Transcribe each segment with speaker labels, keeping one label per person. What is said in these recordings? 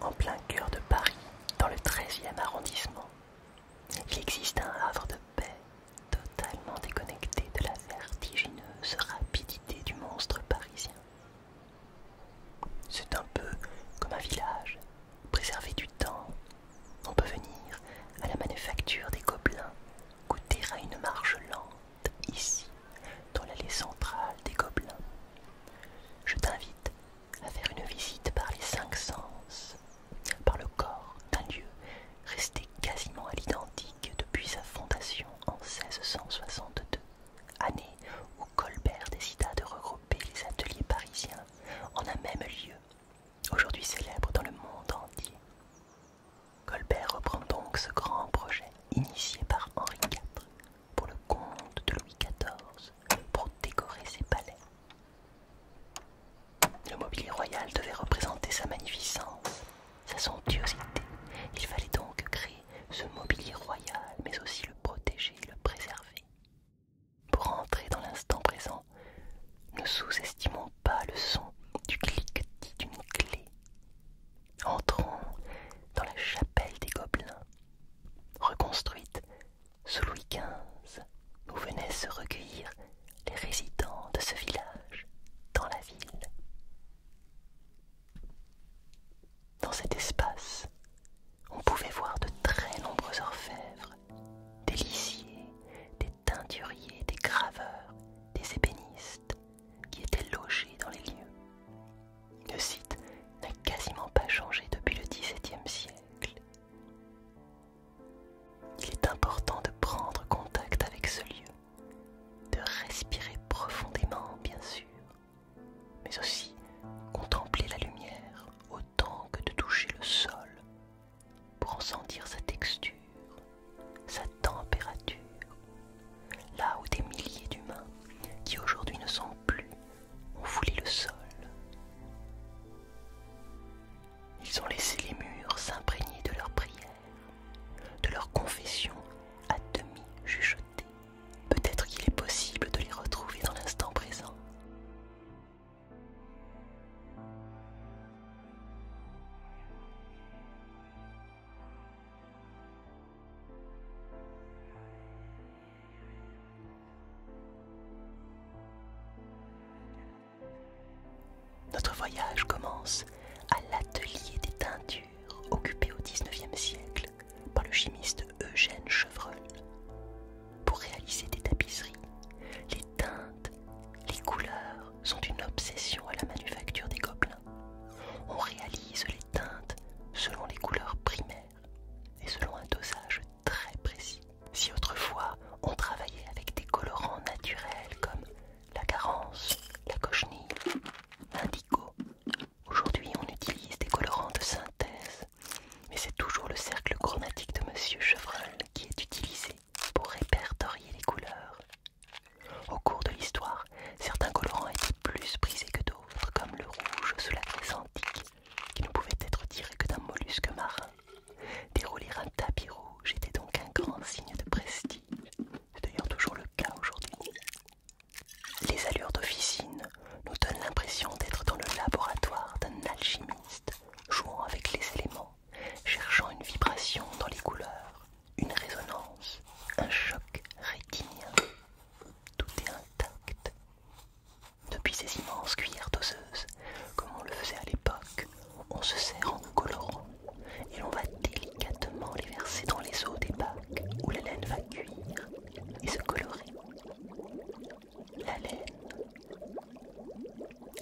Speaker 1: En plein cœur de Paris, dans le 13e arrondissement, il existe un havre de paix totalement déconnecté de la vertigineuse rapidité du monstre parisien. C'est un peu comme un village, préservé du temps. On peut venir à la manufacture des gobelins, goûter à une marge lente ici, dans l'allée centrale des Gobelins. Je t'invite à faire une visite par les cinq sens, par le corps d'un lieu resté quasiment à l'identique depuis sa fondation en 1662, année où Colbert décida de regrouper les ateliers parisiens en un même lieu, aujourd'hui célèbre dans le monde entier. Colbert reprend donc ce grand projet initié par Henri IV pour le compte de Louis XIV pour décorer ses palais. Le mobilier royal devait représenter sa magnificence, sa somptuosité. Il fallait donc créer ce mobilier royal, mais aussi le protéger le préserver. Pour entrer dans l'instant présent, ne sous-estimons pas le son du cliquetis d'une clé. Entrant dans la chapelle des Gobelins, reconstruite sous Louis XV, où venaient se recueillir les résidents de ce village dans la ville. Dans cet espace, on pouvait voir de très nombreux orfèvres, des lissiers, des teinturiers, des graveurs, des ébénistes qui étaient logés dans les lieux. Le site n'a quasiment pas changé depuis le XVIIe siècle. Il est important de prendre contact avec ce lieu, de respirer profondément bien sûr, mais aussi contempler la lumière autant que de toucher le sol, pour en sentir sa texture, sa température, là où des milliers d'humains qui aujourd'hui ne sont plus ont foulé le sol. Ils ont laissé les murs s'imprégner de leurs prières, de leurs confessions à demi chuchotées. Peut-être qu'il est possible de les retrouver dans l'instant présent. Notre voyage commence à l'atelier des teintures occupé au XIXe siècle par le chimiste Eugène Chevreul. Pour réaliser des tapisseries, les teintes les couleurs sont une obsession à la manufacture des gobelins. On réalise les teintes selon les couleurs primaires et selon un dosage très précis. Si autrefois on travaillait avec des colorants naturels comme la carence, la cochenille, l'indigo, aujourd'hui on utilise des colorants de synthèse. Mais c'est toujours le cercle chromatique de Monsieur Chevrel qui est utilisé pour répertorier les couleurs. Au cours de l'histoire, certains colorants étaient plus prisés que d'autres, comme le rouge sous la Grèce antique, qui ne pouvait être tiré que d'un mollusque marin. Dérouler un tapis rouge était donc un grand signe de prestige. C'est d'ailleurs toujours le cas aujourd'hui. Les allures d'officine nous donnent l'impression d'être dans le laboratoire d'un alchimiste jouant avec les éléments cherchant une vibration dans les couleurs, une résonance, un choc rétinien. Tout est intact. Depuis ces immenses cuillères doseuses, comme on le faisait à l'époque, on se sert en colorant et l'on va délicatement les verser dans les os des bacs où la laine va cuire et se colorer. La laine,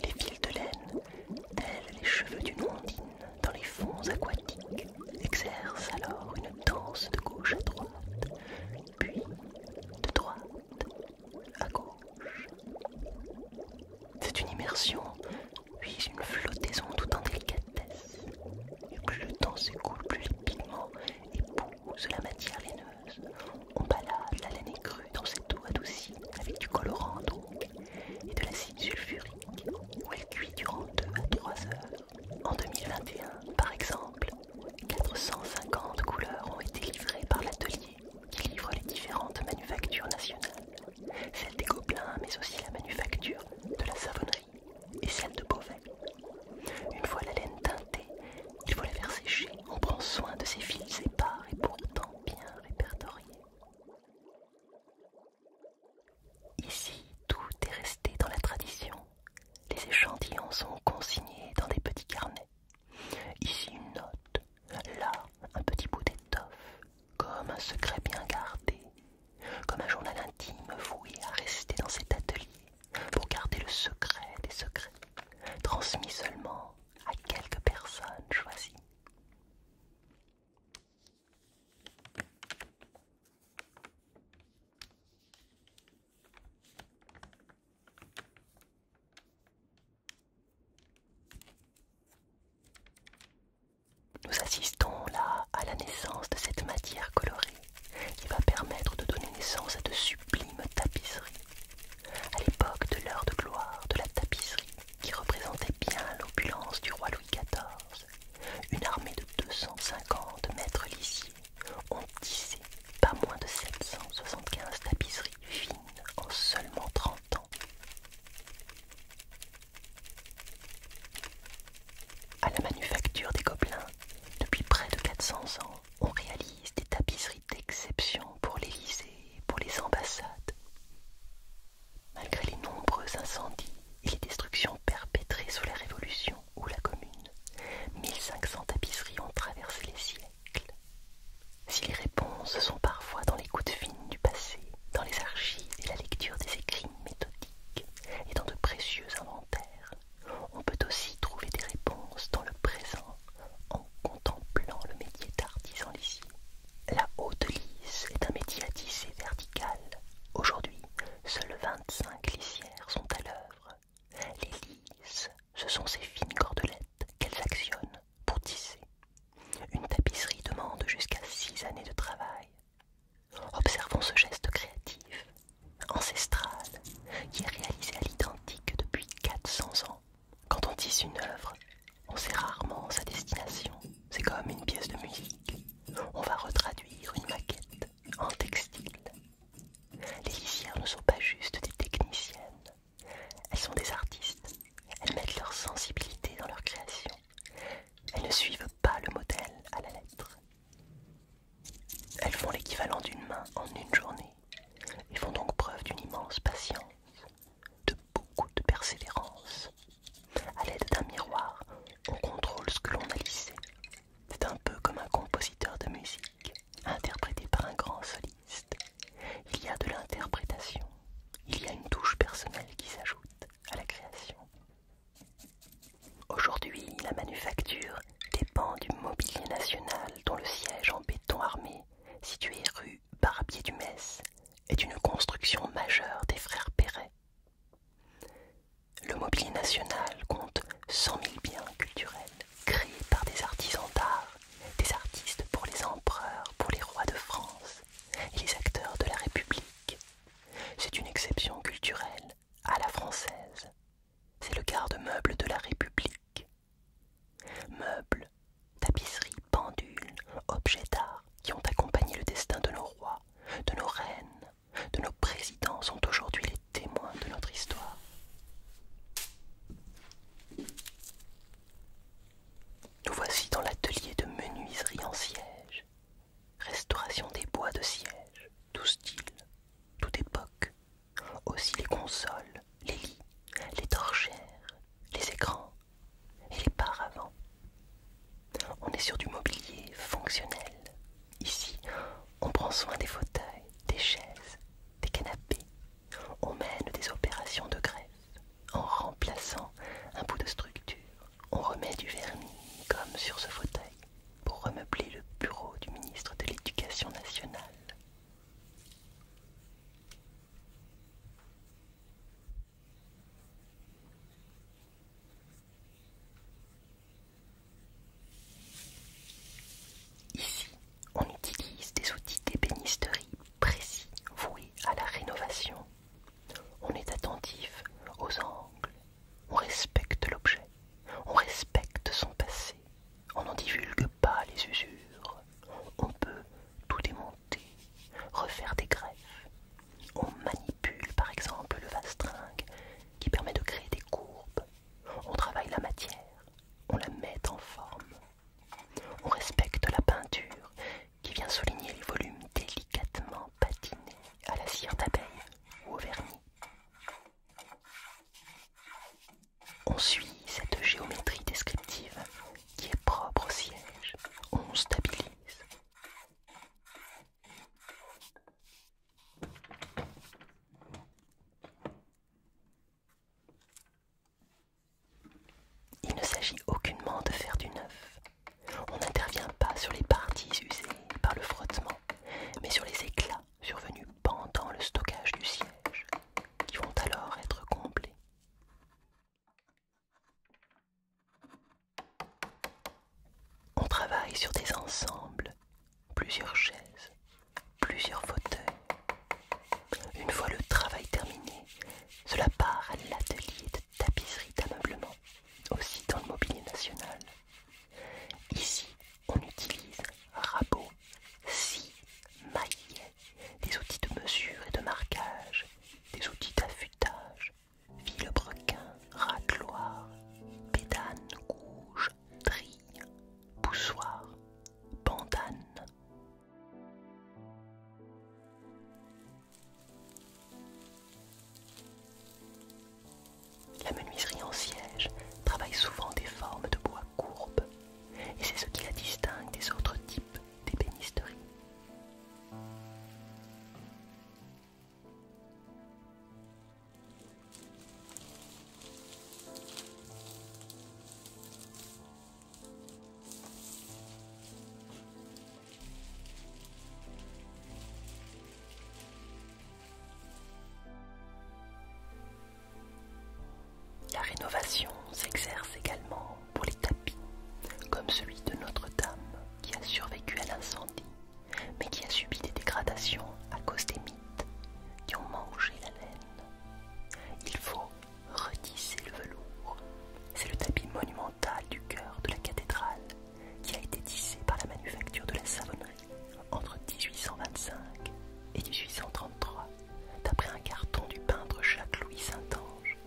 Speaker 1: les fils de laine, tels les cheveux d'une ondine dans les fonds aquatiques, exercent alors une danse de gauche à droite, puis de droite à gauche. C'est une immersion, puis une flottaison tout en délicatesse. Et plus le temps s'écoule, plus rapidement épouse la matière laineuse. On balade la laine écrue dans cette eau adoucie avec du colorant donc et de l'acide sulfurique où elle cuit durant 2 à 3 heures. En 2021, par exemple, 450 couleurs ont été livrées par l'atelier qui livre les différentes manufactures nationales, celle des Gobelins mais aussi la manufacture de la savonnerie et celle de Beauvais. Une fois la laine teintée, il faut la faire sécher. On prend soin de ses fils épars et pourtant bien répertoriés. Ici, tout est resté dans la tradition. Les échantillons sont consignés dans des petits carnets. Ici une note, là un petit bout d'étoffe, comme un secret bien gardé, comme un journal intime voué à rester dans cet atelier pour garder le secret des secrets, transmis seulement à quelques personnes choisies. Nous assistons là à la naissance de cette matière colorée qui va permettre de donner naissance à de sublimes tapisseries. À l'époque de l'heure de gloire de la tapisserie, qui représentait bien l'opulence du roi Louis XIV, une armée de 250 maîtres lissiers ont tissé pas moins de 775 tapisseries fines en seulement 30 ans. À la manufacture des Gobelins, depuis près de 400 ans, on réalise des tapisseries d'exception pour l'Élysée pour les ambassades. Malgré les nombreux incendies et les destructions perpétrées sous la Révolution ou la Commune, 1500 tapisseries ont traversé les siècles. Si les réponses sont parfois dans les gouttes fines du passé, dans les archives et la lecture des écrits méthodiques et dans de précieux inventaires, on peut aussi trouver des réponses dans le présent en contemplant le métier d'artisan lisier la haute lisse est un métier à tisser vertical. Aujourd'hui, seules 25 lisières sont à l'œuvre. Les lisses, ce sont ces fines cordelettes qu'elles actionnent pour tisser. Une tapisserie demande jusqu'à six années de travail. Observons ce geste créatif, ancestral, qui est réalisé à l'identique depuis 400 ans. Quand on tisse une œuvre, on sait rarement sa destination. C'est comme une pièce de musique. On va retraduire une maquette en textile. Les lisières ne sont pas juste des techniciennes. Elles sont des artistes. Elles mettent leur sensibilité dans leur création. Elles ne suivent pas le modèle à la lettre. Elles font l'équivalent d'une main en une journée et font donc preuve d'une immense patience, beaucoup de persévérance. À l'aide d'un miroir, on contrôle ce que l'on a lissé. C'est un peu comme un compositeur de musique, interprété par un grand soliste. Il y a de l'interprétation, il y a une touche personnelle qui s'ajoute à la création. Aujourd'hui, la manufacture dépend du mobilier national dont le siège en béton armé, situé rue Barbier du Metz est une construction majeure des frères Perret. Le mobilier national compte 100 000 biens culturels créés par des artisans d'art, des artistes pour les empereurs, pour les rois de France et les acteurs de la République. C'est une exception culturelle à la française. C'est le garde-meuble de la République. Meubles, tapisseries, pendules, objets d'art qui ont accompagné le destin de nos rois, de nos reines, de nos présidents sont aujourd'hui les témoins de notre histoire. Nous voici dans l'atelier de menuiserie en siège, restauration des bois de siège, tout style, toute époque, aussi les consoles, les lits, les torchères, les écrans et les paravents. On est sur du mobilier fonctionnel. Ici, on prend soin des fauteuils, des chaises, des canapés. On mène des opérations de greffe. En remplaçant un bout de structure, on remet du vernis comme sur ce fauteuil pour remeubler le bureau du ministre de l'Éducation nationale. Ici, on utilise des outils d'ébénisterie précis voués à la rénovation. On est attentif aux angles, on respecte l'objet, on respecte son passé, on en divulgue pas les usures. On peut tout démonter, refaire des greffes. On manipule par exemple le vastringue qui permet de créer des courbes. On travaille la matière, on la met en forme. On respecte la peinture qui vient souligner les volumes délicatement patinés à la cire d'abeille ou au vernis. On suit cette géométrie descriptive qui est propre au siège. On stabilise. Il ne s'agit aucunement de faire du neuf. On n'intervient pas sur les parties usées par le frottement, mais sur les éclats survenus pendant le stockage du siège qui vont alors être comblés. On travaille sur des ensembles, plusieurs chaises, plusieurs fauteuils. Une fois le travail terminé, cela part à l'atelier de tapisserie d'ameublement, aussi dans le mobilier national. Ici, on utilise un rabot si, maillet, des outils de mesure et de marquage, des outils d'affûtage, vilebrequin, racloir, pédane, gouge, trille, poussoir, bandane. La menuiserie en siège travaille souvent des formes de bois courbes et c'est ce qui la distingue des autres types d'ébénisterie. La rénovation s'exerce également pour les tapis, comme celui de Notre-Dame qui a survécu à l'incendie, mais qui a subi des dégradations à cause des mites qui ont mangé la laine. Il faut retisser le velours. C'est le tapis monumental du cœur de la cathédrale qui a été tissé par la manufacture de la savonnerie entre 1825 et 1833 d'après un carton du peintre Jacques-Louis Saint-Ange.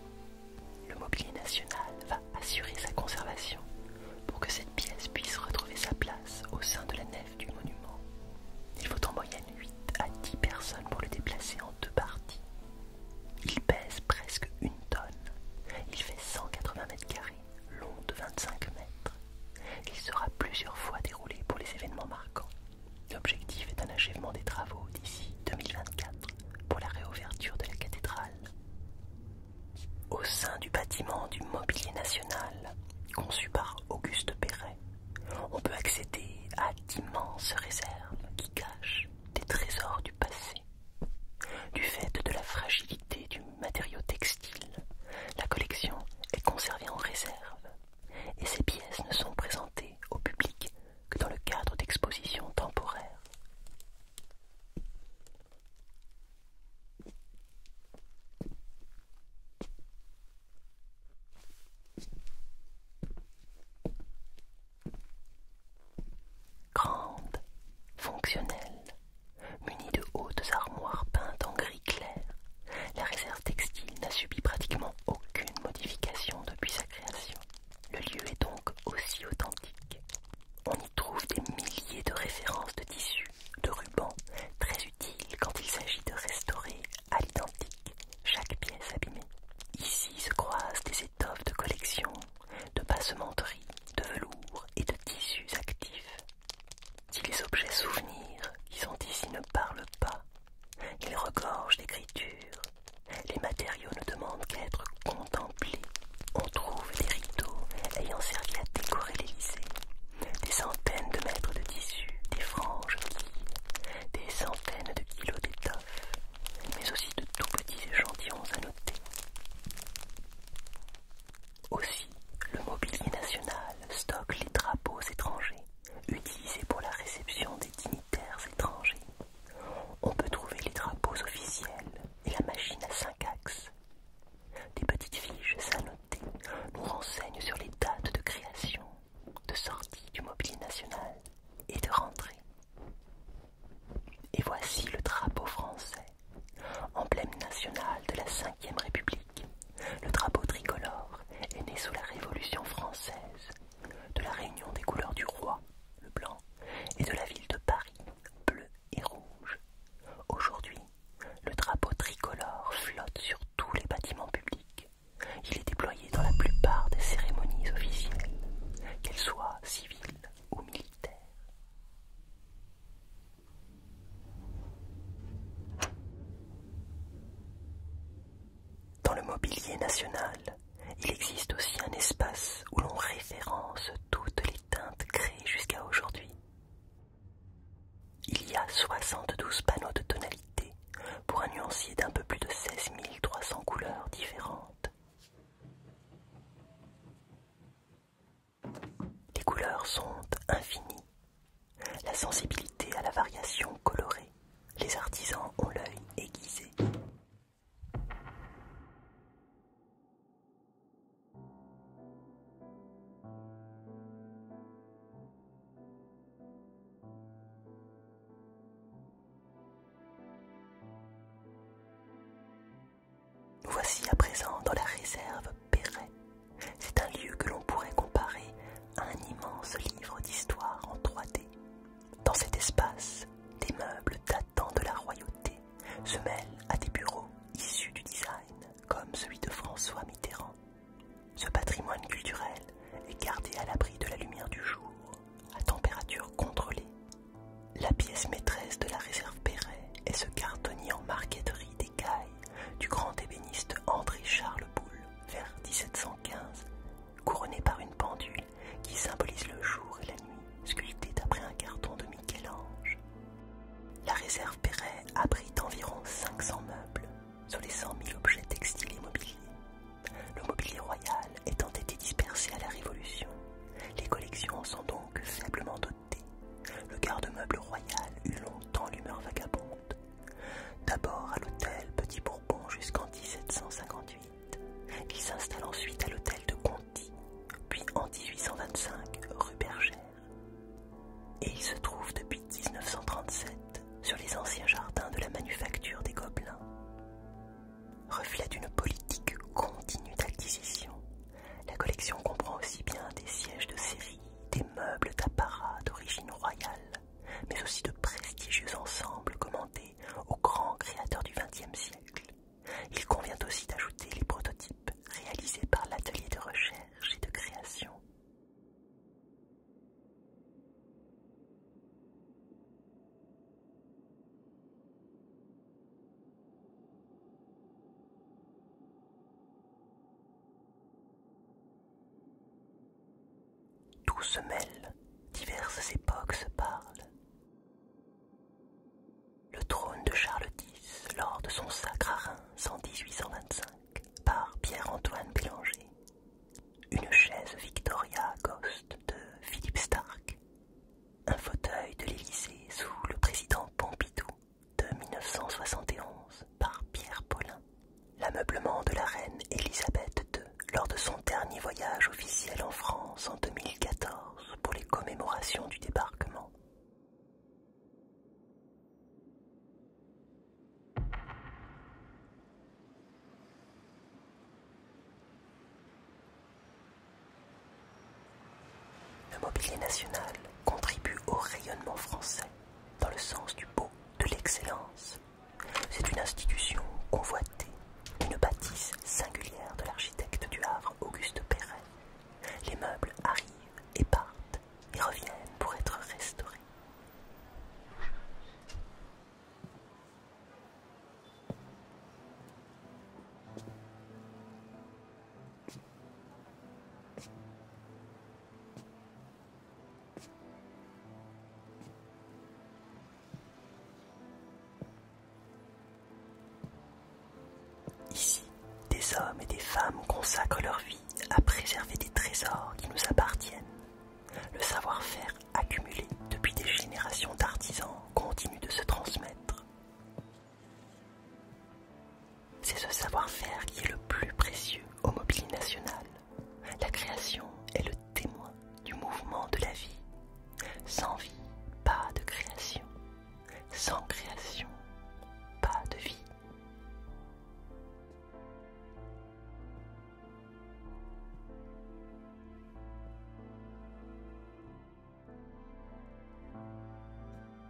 Speaker 1: Le mobilier national va assurer sa conservation pour que cette pièce puisse retrouver sa place au sein de la nef du monument. Il faut en moyenne 8 à 10 personnes pour le déplacer en deux parties. Il pèse presque une tonne. Il fait 180 mètres carrés, long de 25 mètres. Il sera plusieurs fois déroulé pour les événements marquants. L'objectif est un achèvement des travaux d'ici 2024 pour la réouverture de la cathédrale. Au sein du bâtiment du Mobilier National, conçu par Auguste Perret, on peut accéder à d'immenses réserves qui cachent des trésors du passé. Du fait de la fragilité du matériau textile, la collection est conservée en réserve et ces pièces ne sont présentées au public que dans le cadre d'expositions temporaires. Grande, fonctionnelle, munie de hautes armoires peintes en gris, la réserve textile n'a subi pratiquement aucune modification depuis sa création. Le lieu est donc aussi authentique. On y trouve des milliers de références de tissus, de rubans, très utiles quand il s'agit de restaurer à l'identique chaque pièce abîmée. Ici se croisent des étoffes de collection, de passementerie, de velours et de tissus actifs. Si les objets souvenirs qui sont ici ne parlent pas, ils regorgent d'écriture. Les matériaux ne demandent qu'à être contemplés. On trouve des rideaux ayant servi à décorer l'Élysée, des centaines de mètres de tissus, des franges des centaines de kilos d'étoffes, mais aussi de tout petits échantillons à noter. Aussi, le mobilier national stocke les drapeaux étrangers, utilisé pour la réception des dignitaires étrangers. On peut trouver les drapeaux officiels et la machine à cinq axes. Des petites fiches annotées nous renseignent sur les dates de création, de sortie du mobilier national et de rentrée. Et voici le drapeau français, emblème national de la Ve République. Le drapeau tricolore est né sous la Révolution française, de la réunion des couleurs du roi, le blanc, et de la ville de Paris, bleu et rouge. Aujourd'hui, le drapeau tricolore flotte sur tous les bâtiments publics. Il est déployé dans la plupart des cérémonies officielles, qu'elles soient civiles ou militaires. Dans le mobilier national, il existe aussi un espace où l'on référence toutes les teintes créées jusqu'à aujourd'hui. Il y a 72 panneaux de tonalité pour un nuancier d'un peu plus de 16 300 couleurs différentes. Les couleurs sont infinies la sensibilité à la variation colorée. Les artisans ont l'œil aiguisé. Nous voici à présent dans la réserve Perret. C'est un lieu que l'on pourrait comparer à un immense livre d'histoire en 3D. Dans cet espace, des meubles datant de la royauté se mêlent à des bureaux issus du design, comme celui de François Mitterrand. Ce patrimoine culturel est gardé à l'abri de la lumière du jour, à température contrôlée. La pièce maîtresse de la réserve Perret est ce cartonnier en marqueterie du grand ébéniste André-Charles Boulle vers 1715, couronné par une pendule qui symbolise le jour et la nuit, sculptée d'après un carton de Michel-Ange. La réserve Perret abrite environ 500 meubles, sur les 100 000 objets textiles et mobiliers. Le mobilier royal étant été dispersé à la Révolution, les collections sont donc simplement dotées le garde-meuble royal eut longtemps l'humeur vagabonde. D'abord à l'hôtel Petit Bourbon jusqu'en 1758. Il s'installe ensuite à l'hôtel de Conti, puis en 1825 rue Bergère. Et il se trouve depuis 1937 sur les anciens jardins de la manufacture des Gobelins. Reflet d'une politique continue d'acquisition, la collection comprend aussi bien des sièges de série des meubles d'apparat d'origine royale, mais aussi de prestigieux ensembles commandés aux grands créateurs du XXe siècle. Il convient aussi d'ajouter les prototypes réalisés par l'atelier de recherche et de création. Tout se mêle, diverses époques se parlent. Le trône de Charles X, lors de son sacre à Reims en 1825, par Pierre-Antoine Bélanger. Une chaise Victoria Ghost de Philippe Stark. Un fauteuil de l'Élysée sous le président Pompidou de 1971 par Pierre Paulin. L'ameublement de la reine Elisabeth II lors de son dernier voyage officiel en France en 2014 pour les commémorations du débarquement. Le mobilier national contribue au rayonnement français dans le sens du beau, de l'excellence. C'est une institution convoitée, une bâtisse singulière de l'architecte du Havre Auguste Perret. Les meubles arrivent et partent et reviennent pour être restaurés. Ici, des hommes et des femmes consacrent leur vie à préserver des trésors qui nous appartiennent. Le savoir-faire accumulé depuis des générations d'artisans continue de se transmettre. C'est ce savoir-faire qui est le plus précieux au mobilier National. La création est le témoin du mouvement de la vie. Sans vie, pas de création. Sans création, pas de vie.